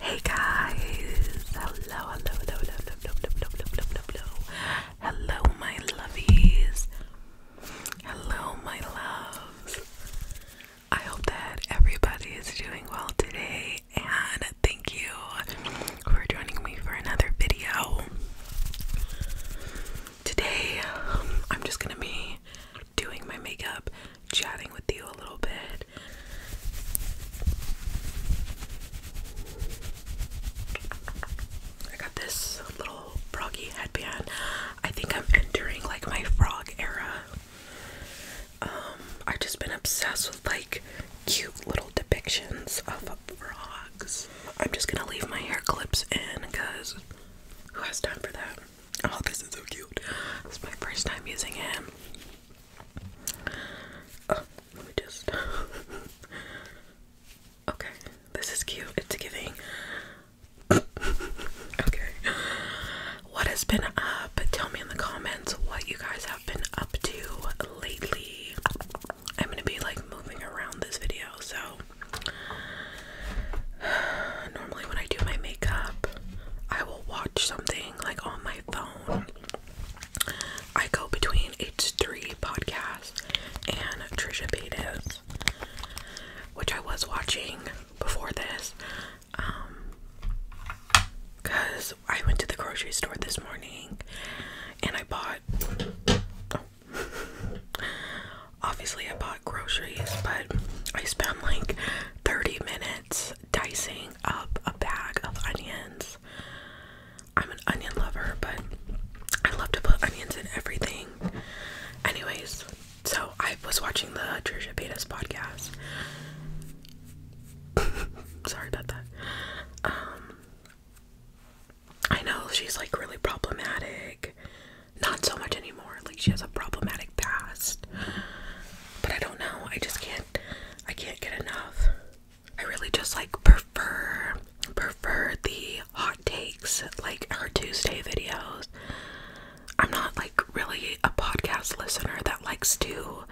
Hey guys! Hello, hello, hello, hello, hello, hello, hello, hello, hello, hello. Hello, my lovies. Hello, my loves. I hope that everybody is doing well today, and thank you for joining me for another video. Today, um, I'm just gonna be doing my makeup chatting with you a little bit. I got this little froggy headband. I think I'm entering like my frog era. Um, I've just been obsessed with like cute little depictions of frogs. I'm just gonna leave my hair clips in because who has time for that? Oh, this is so cute. This my first time using it let me just. okay, this is cute. It's giving. okay. What has been up? Tell me in the comments what you guys have been up to lately. I'm gonna be like moving around this video, so. Normally, when I do my makeup, I will watch something like on my phone I go between H Three podcast and Trisha Paytas, which I was watching before this. Um, because I went to the grocery store this morning and I bought. Oh, obviously, I bought groceries, but I spent like 30 minutes dicing up a bag of onions. I'm an onion lover, but I love to put onions in everything. Anyways, so I was watching the Trisha Paytas podcast. Sorry about that. Um, I know she's like really problematic. Not so much anymore. Like she has a problematic past. But I don't know. I just can't I can't get enough. I really just like prefer prefer the hot takes like her Tuesday videos. I'm not like really a podcast listener that likes to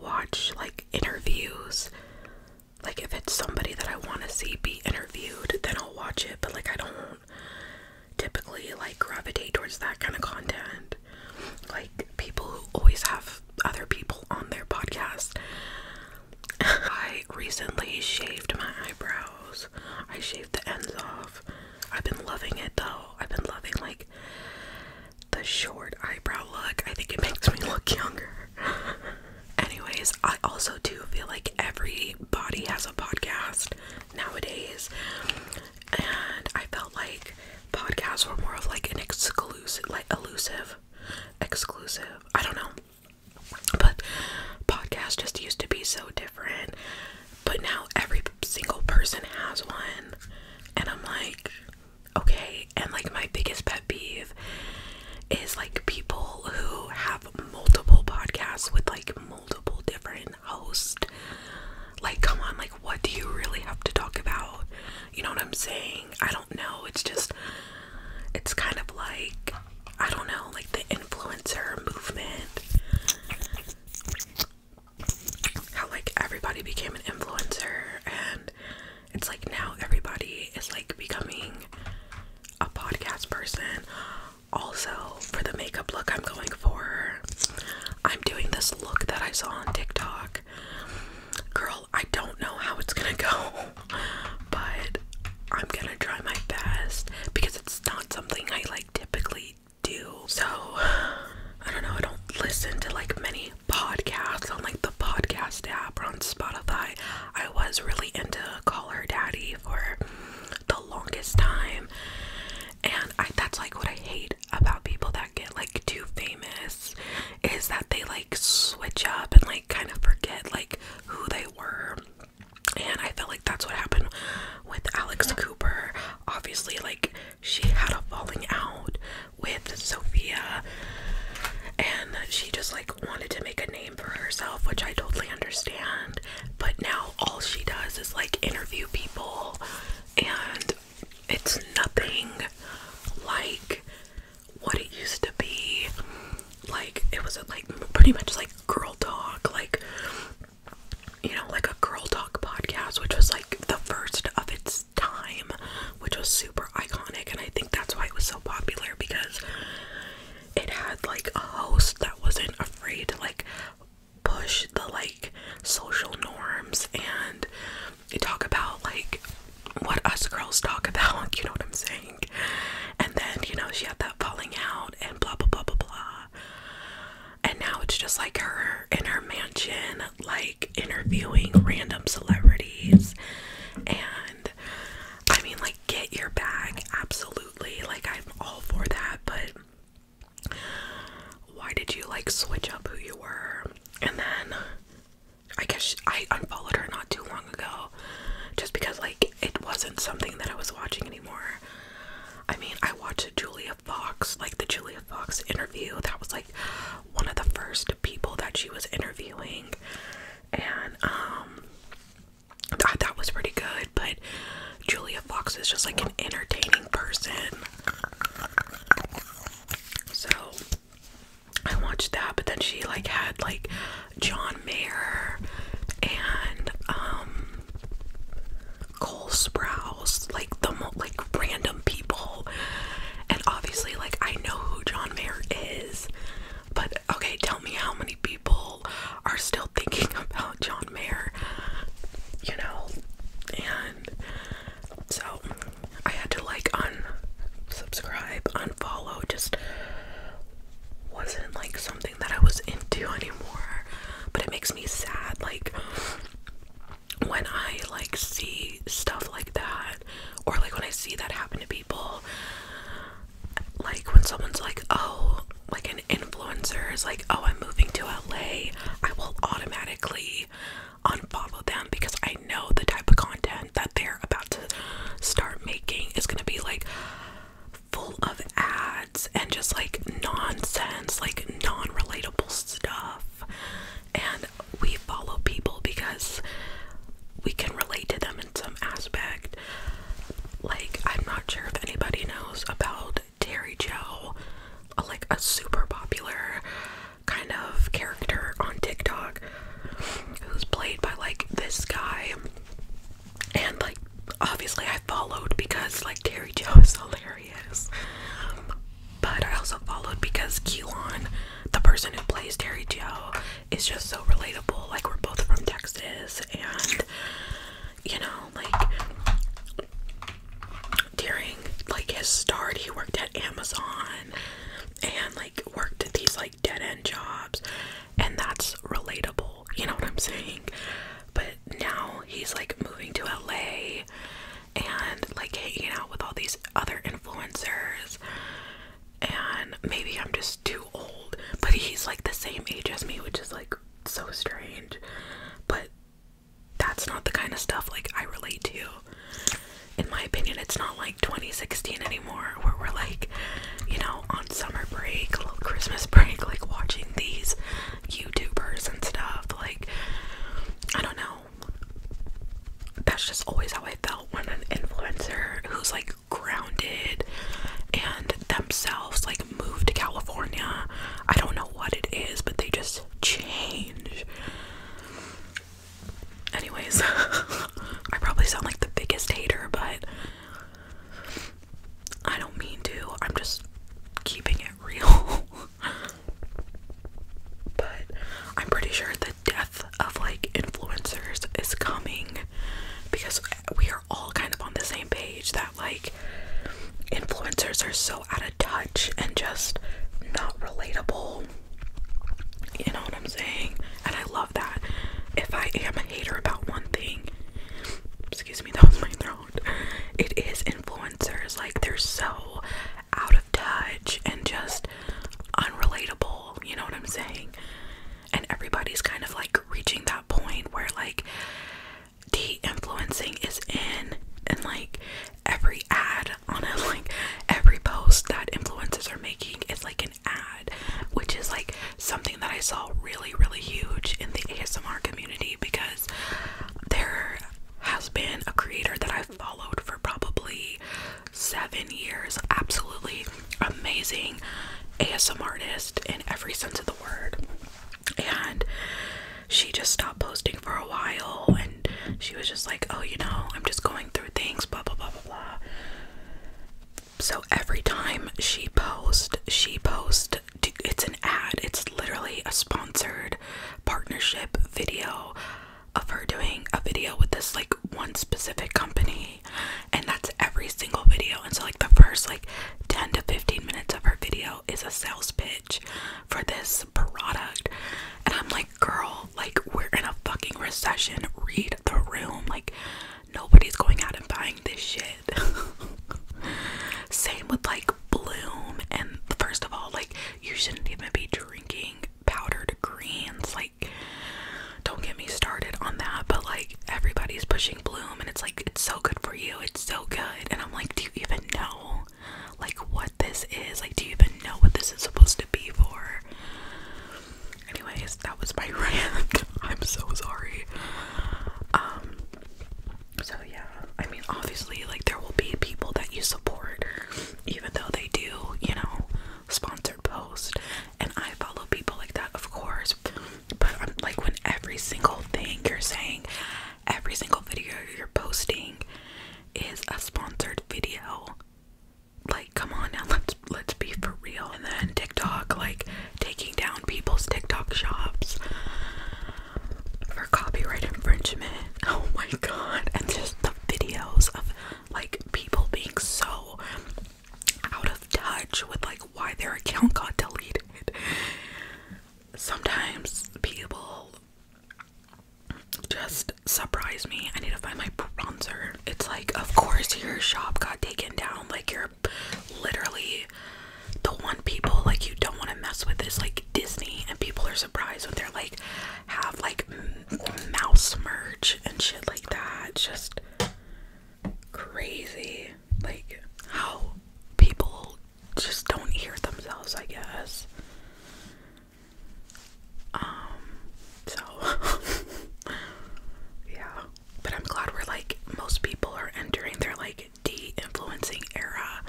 watch like interviews. Like if it's somebody that I want to see be interviewed, then I'll watch it, but like I don't typically like gravitate towards that kind of content. Like people who always have other people on their podcast. I recently shaved my eyebrows. I shaved the ends off. I've been loving it though. I've been loving like the short eyebrow look. I think it makes me look younger. Anyways, I also do feel like everybody has a podcast nowadays and I felt like podcasts were more of like an exclusive, like elusive, exclusive. I don't know, but podcasts just used to be so different. But now every single person has one, and I'm like, okay. And like my biggest pet peeve is like people who have multiple podcasts with like multiple different host. Like, come on, like, what do you really have to talk about? You know what I'm saying? I don't know. It's just, it's kind of like, I don't know, like the influencer movement. How, like, everybody became an influencer, and it's like now everybody is like becoming a podcast person. Also, for the makeup look, I'm going for. I'm doing this look that I saw on TikTok. Girl, I don't know how it's gonna go, but I'm gonna try my best because it's not something I like typically do. So, I don't know, I don't listen to like many podcasts on like the podcast app or on Spotify. I was really into Call Her Daddy for the longest time, and that's like what I hate about people that get like too famous is that they like switch up and like kind of forget like who they were. And I felt like that's what happened with Alex Cooper. Obviously, like she had a falling out with Sophia and she just like wanted to make a name for herself, which I totally understand. But now all she does is like interview people and it's nothing like what it used to be. Like it was like pretty much like girl talk, like you know, like a girl talk podcast, which was like the first of its time, which was super iconic, and I think that's why it was so popular because it had like a host that wasn't afraid to like push the like social norms and talk about like what us girls talk about, you know what I'm saying? And then, you know, she had that falling out and blah blah blah blah blah. And now it's just like her in her mansion, like interviewing random celebrities. And I mean, like, get your bag, absolutely. Like, I'm all for that, but why did you like switch up who you were? And then I guess I unfollowed her not too long ago just because like it wasn't something that I was watching anymore. I mean, I watched Julia Fox, like the Julia Fox interview. That was like one of the first people that she was interviewing. And um that, that was pretty good, but Julia Fox is just like an entertaining person. So I watched that, but then she like had like John Mayer and um Cole Sprouse, like the mo like random people. And obviously like I know who John Mayer is, but okay, tell me how many people are still thinking about John down you know, and so I had to like unsubscribe, unfollow, just wasn't like something that I was into anymore. But it makes me sad, like when I like see stuff like that, or like when I see that happen to people, like when someone's like, oh, like an influencers like, oh, I'm moving to LA, I will automatically unfollow them because I know the type of content that they're about to start making is going to be like full of ads and just like nonsense, like non relatable stuff. And we follow people because we can relate to them in some aspect. Like, I'm not sure if anybody knows about Terry Joe, like a super popular kind of character on TikTok, who's played by like this guy. And like, obviously, I followed because like Terry Joe is hilarious. But I also followed because Keelan, the person who plays Terry Joe, is just so relatable. Like, we're both from Texas, and you know, like during like his start he worked at Amazon and like worked at these like dead end jobs and that's relatable, you know what I'm saying? But now he's like moving to LA and like hanging out with all these other influencers and maybe I'm just too old, but he's like the same age as me, which is like so strange. But that's not the kind of stuff like I relate to. In my opinion, it's not like 2016 anymore where we're like, you know, on summer break, little Christmas break, like watching these YouTubers and stuff. Like, I don't know. That's just always how I felt when an influencer who's like grounded and themselves, like like to California. I don't know what it is, but they just change. Anyways, I probably sound like the biggest hater, but I don't mean to. I'm just keeping it real. but I'm pretty sure the death of like influencers is coming because we are all kind of on the same page that like influencers are so out of touch and just not relatable. You know what I'm saying? And I love that. If I am a hater about one thing, excuse me, that was my throat. It is influencers. Like they're so out of touch and just unrelatable. You know what I'm saying? And everybody's kind of like reaching that point where like de influencing is in and like every ad on it, like every post that influencers are making is like an ad which is like something that I saw really really huge in the ASMR community because there has been a creator that I've followed for probably seven years absolutely amazing ASMR artist in every sense of the word and she just stopped posting for a while and she was just like, Oh, you know, I'm just going through things, blah blah blah blah blah. So every time she posts, she posts it's an ad, it's literally a sponsored partnership video of her doing a video with this like one specific company, and that's every single video. And so, like, the first like 10 to 15 minutes of her video is a sales pitch for this product. And I'm like, girl, like, we're in a fucking recession. Read the room. Like, nobody's going out and buying this shit. Same with like Bloom. And first of all, like, you shouldn't even be drinking powdered greens. Like, don't get me started on that. But like, everybody's pushing Bloom, and it's like, it's so good for you. It's so good. And I'm like, do you even? know like what this is? Like do you even know what this is supposed to be for? Anyways, that was my rant. I'm so sorry. Um so yeah, I mean obviously like there will be people that you support even though they do, you know, sponsored post and I follow people like that of course. But I'm um, like when every single thing you're saying every single video you're posting is a sponsored video. Like, come on now, let's let's be for real. And then TikTok, like taking down people's TikTok shops for copyright infringement. Oh my god. And just the videos of like people being so out of touch with like why their account got deleted sometimes people just surprise me. I need to find my bronzer. It's like, of course, your shop got taken down. Like, you're literally the one people like you don't want to mess with is like Disney, and people are surprised when they're like have like mouse merch and shit like that. just crazy, like how people just don't hear themselves, I guess. Um, so yeah, but I'm glad we're like most people are entering their like de influencing era.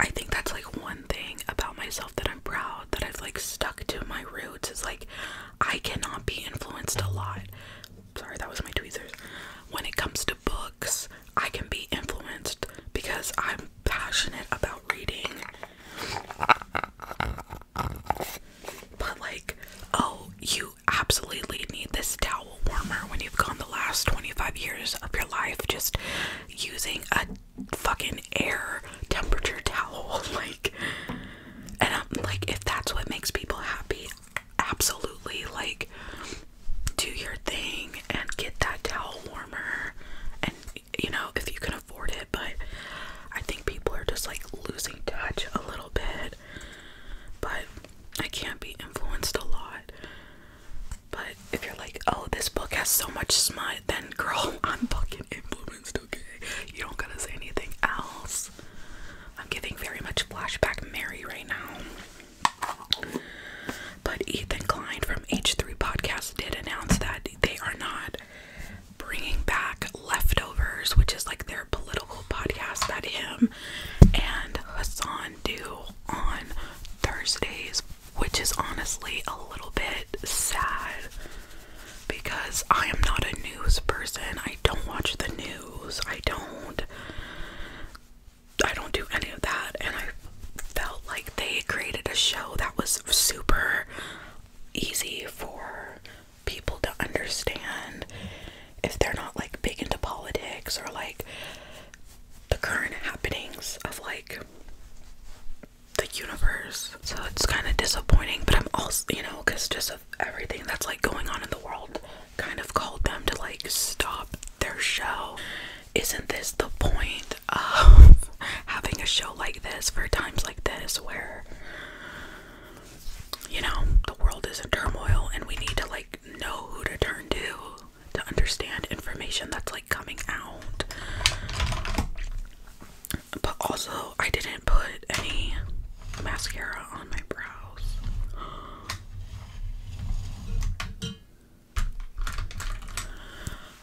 I think that's like one thing about myself that I'm proud that I've like stuck to my roots is like I cannot be influenced a lot. Sorry, that was my tweezers. When it comes to books, I can be influenced because I'm passionate about reading. But, like, oh, you absolutely need this towel warmer when you've gone the last 25 years of your life just using a fucking air temperature towel. Like, and I'm like, if that's what makes people happy, absolutely like do your thing and get that towel warmer and you know if you can afford it but I think people are just like losing touch a little bit but I can't be influenced a lot but if you're like oh this book has so much smut then girl I'm fucking influenced okay you don't gotta say anything else I'm giving very much flashback Mary right now but Ethan Klein from H3 Podcast did announce that they are not bringing back Leftovers, which is like their political podcast that him and Hassan do on Thursdays, which is honestly a little bit sad because I am not a news person. I don't watch the news. I don't I don't do any of that and I felt like they created a show that was super easy for people to understand if they're not like big into politics or like the current happenings of like the universe. So it's kind of disappointing, but I'm also, you know, because just of everything that's like going on in the world kind of called them to like stop their show. Isn't this the point of having a show like this for times like this where you know the world is in turmoil and we need to like know who to turn to to understand information that's like coming out? But also, I didn't put any mascara on my brows.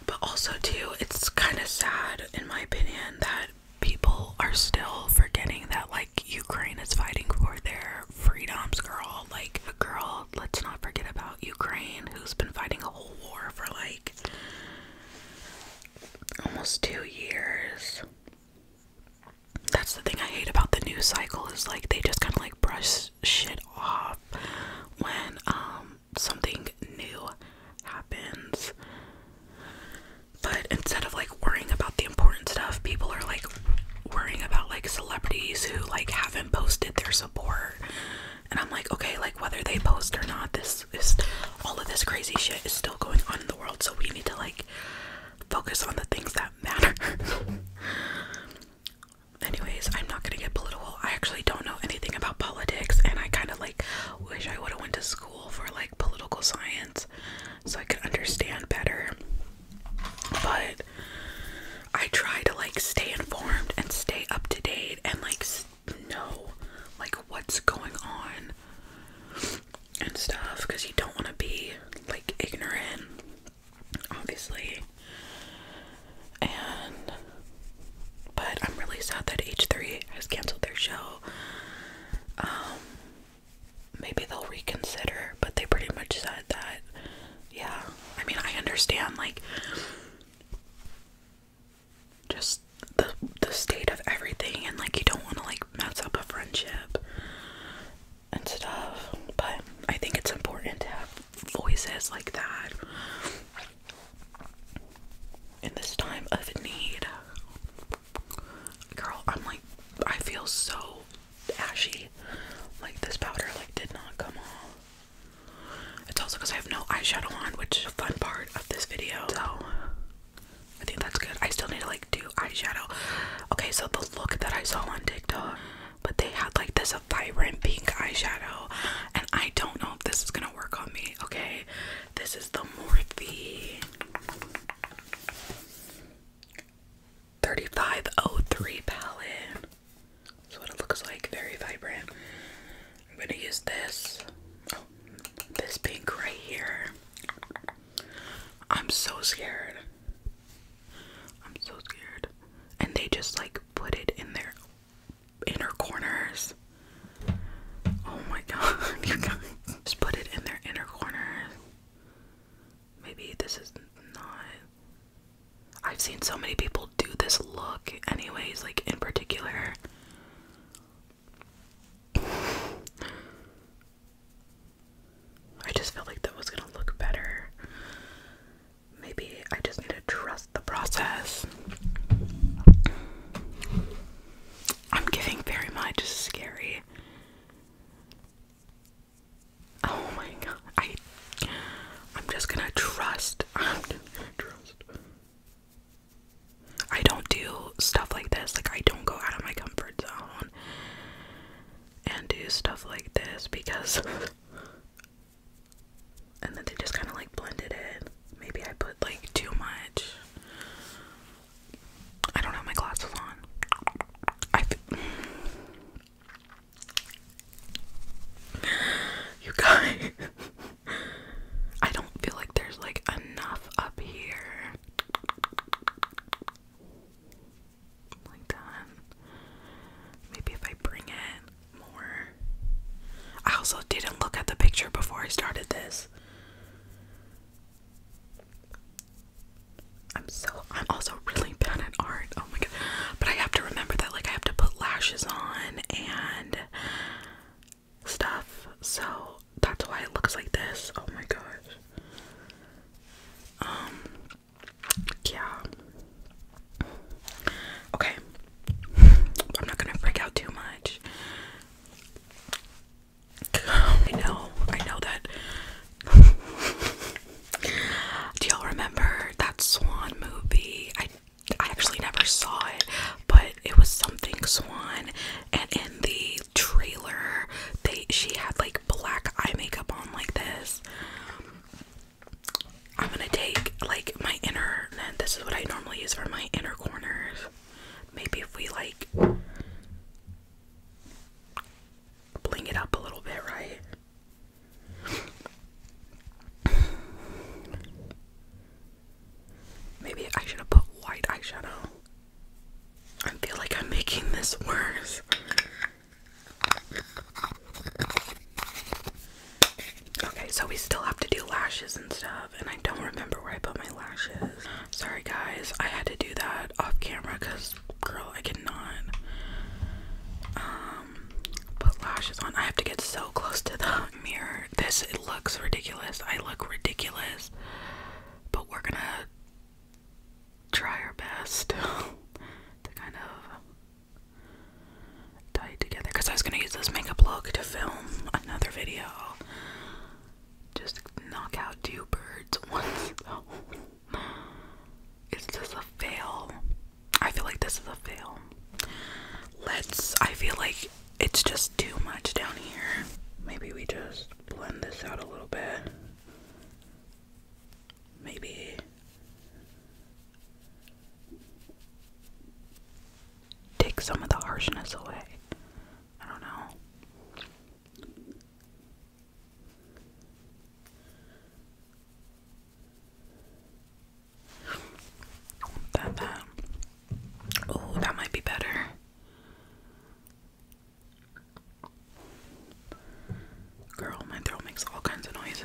But also, too, it's kind of sad, in my opinion, that people are still forgetting that, like, Ukraine is fighting for their freedoms, girl. Like, a girl, let's not forget about Ukraine, who's been fighting a whole war for, like, almost two years. That's the thing I hate about the news cycle is like they just kind of like brush shit off when um something new happens. But instead of like worrying about the important stuff, people are like worrying about like celebrities who like haven't posted their support. And I'm like, okay, like whether they post or not, this is all of this crazy shit is still going on in the world, so we need to like focus on the things that matter. Anyways, I'm not gonna get political. I actually don't know anything about politics, and I kind of like wish I would have went to school for like political science so I could understand better. But I try to like stay informed and stay up to date and like know like what's going on and stuff because you don't want to be like ignorant obviously. And but I'm really sad that H3 has canceled their show. Um maybe they'll reconsider, but they pretty much said that yeah. I mean, I understand like just the the state of everything and like you don't want to like mess up a friendship and stuff. But I think it's important to have voices like that in this time of need. Girl, I'm like, I feel so ashy. Like, this powder, like, did not come off. It's also because I have no eyeshadow on, which is a fun part of this video. So, I think that's good. I still need to, like, do eyeshadow. Okay, so the look that I saw on but they had like this vibrant pink eyeshadow, and I don't know if this is gonna work on me. Okay, this is the Morphe 3503 palette. That's what it looks like, very vibrant. I'm gonna use this, oh, this pink right here. I'm so scared. I'm so scared. And they just like put it in their inner corners. Oh my god, Just put it in their inner corners. Maybe this is not. I've seen so many people do this look, anyways, like in particular. I just felt like that was gonna look better. Maybe I just need to trust the process. I'm giving very much scary. Oh my god. I I'm just gonna trust. I'm just gonna trust. I don't do stuff like this. Like I don't go out of my comfort zone and do stuff like this because and then they just kind of like blended it. Maybe I put like too much. I don't have my glasses on. You guys I don't feel like there's like enough up here like that. Maybe if I bring it more. I also didn't look at the picture before I started this. I'm so I'm also really bad at art. Oh my god. But I have to remember that like I have to put lashes on and stuff. So that's why it looks like this. Oh my gosh. Um, yeah. Okay. I'm not gonna freak out too much. I know, I know that. Do y'all remember that Swan movie? I I actually never saw it, but it was something Swan, and in the trailer. They she had like black eye makeup on like this. I'm gonna take like my inner and this is what I normally use for my inner corners. Maybe if we like bling it up a little bit, right? Maybe I should have put white eyeshadow. I feel like I'm making this worse. Okay, so we still have to do lashes and stuff, and I don't remember where I put my lashes. Sorry, guys, I had to do that off camera because, girl, I cannot um, put lashes on. I have to get so close to the mirror. This it looks ridiculous. I look ridiculous, but we're gonna try our best to kind of tie it together because I was gonna use this makeup look to film another video. Just knock out two birds once. So. Is a fail? I feel like this is a fail. Let's. I feel like it's just too much down here. Maybe we just blend this out a little bit maybe take some of the harshness away. I don't know. That Oh, that might be better. Girl, my throat makes all kinds of noises.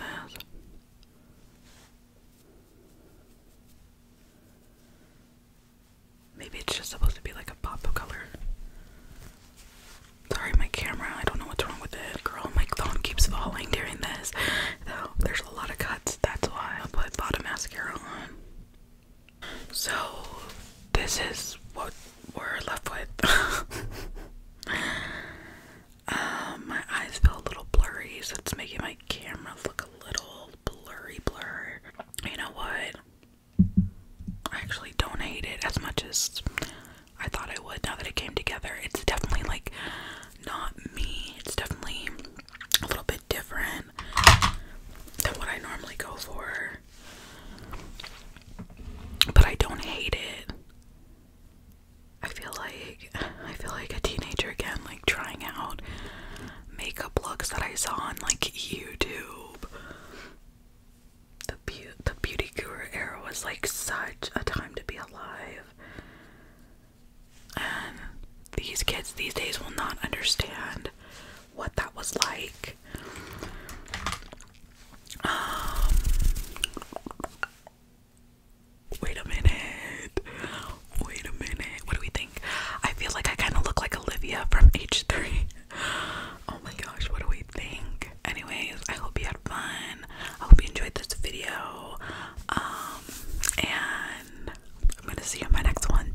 Maybe it's just supposed to be like a pop of color. Sorry, my camera. I don't know what's wrong with it. Girl, my phone keeps falling during this. Though there's a lot of cuts, that's why I put bottom mascara on. So, this is what we're left with. Um, my eyes feel a little blurry, so it's making my camera look a little blurry, blur. You know what? I actually don't hate it as much as I thought I would. Now that it came together, it's definitely like not me. It's definitely a little bit different than what I normally go for. But I don't hate it. I feel like I feel like a teenager again, like trying out makeup looks that I saw on like YouTube. The be the beauty guru era was like such a time to be alive. And these kids these days will not understand what that was like. Um, wait a minute. Wait a minute. What do we think? I feel like I kind of look like Olivia from H3. Oh my gosh, what do we think? Anyways, I hope you had fun. I hope you enjoyed this video. Um, and I'm gonna see you in my next one.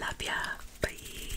Love ya. Bye.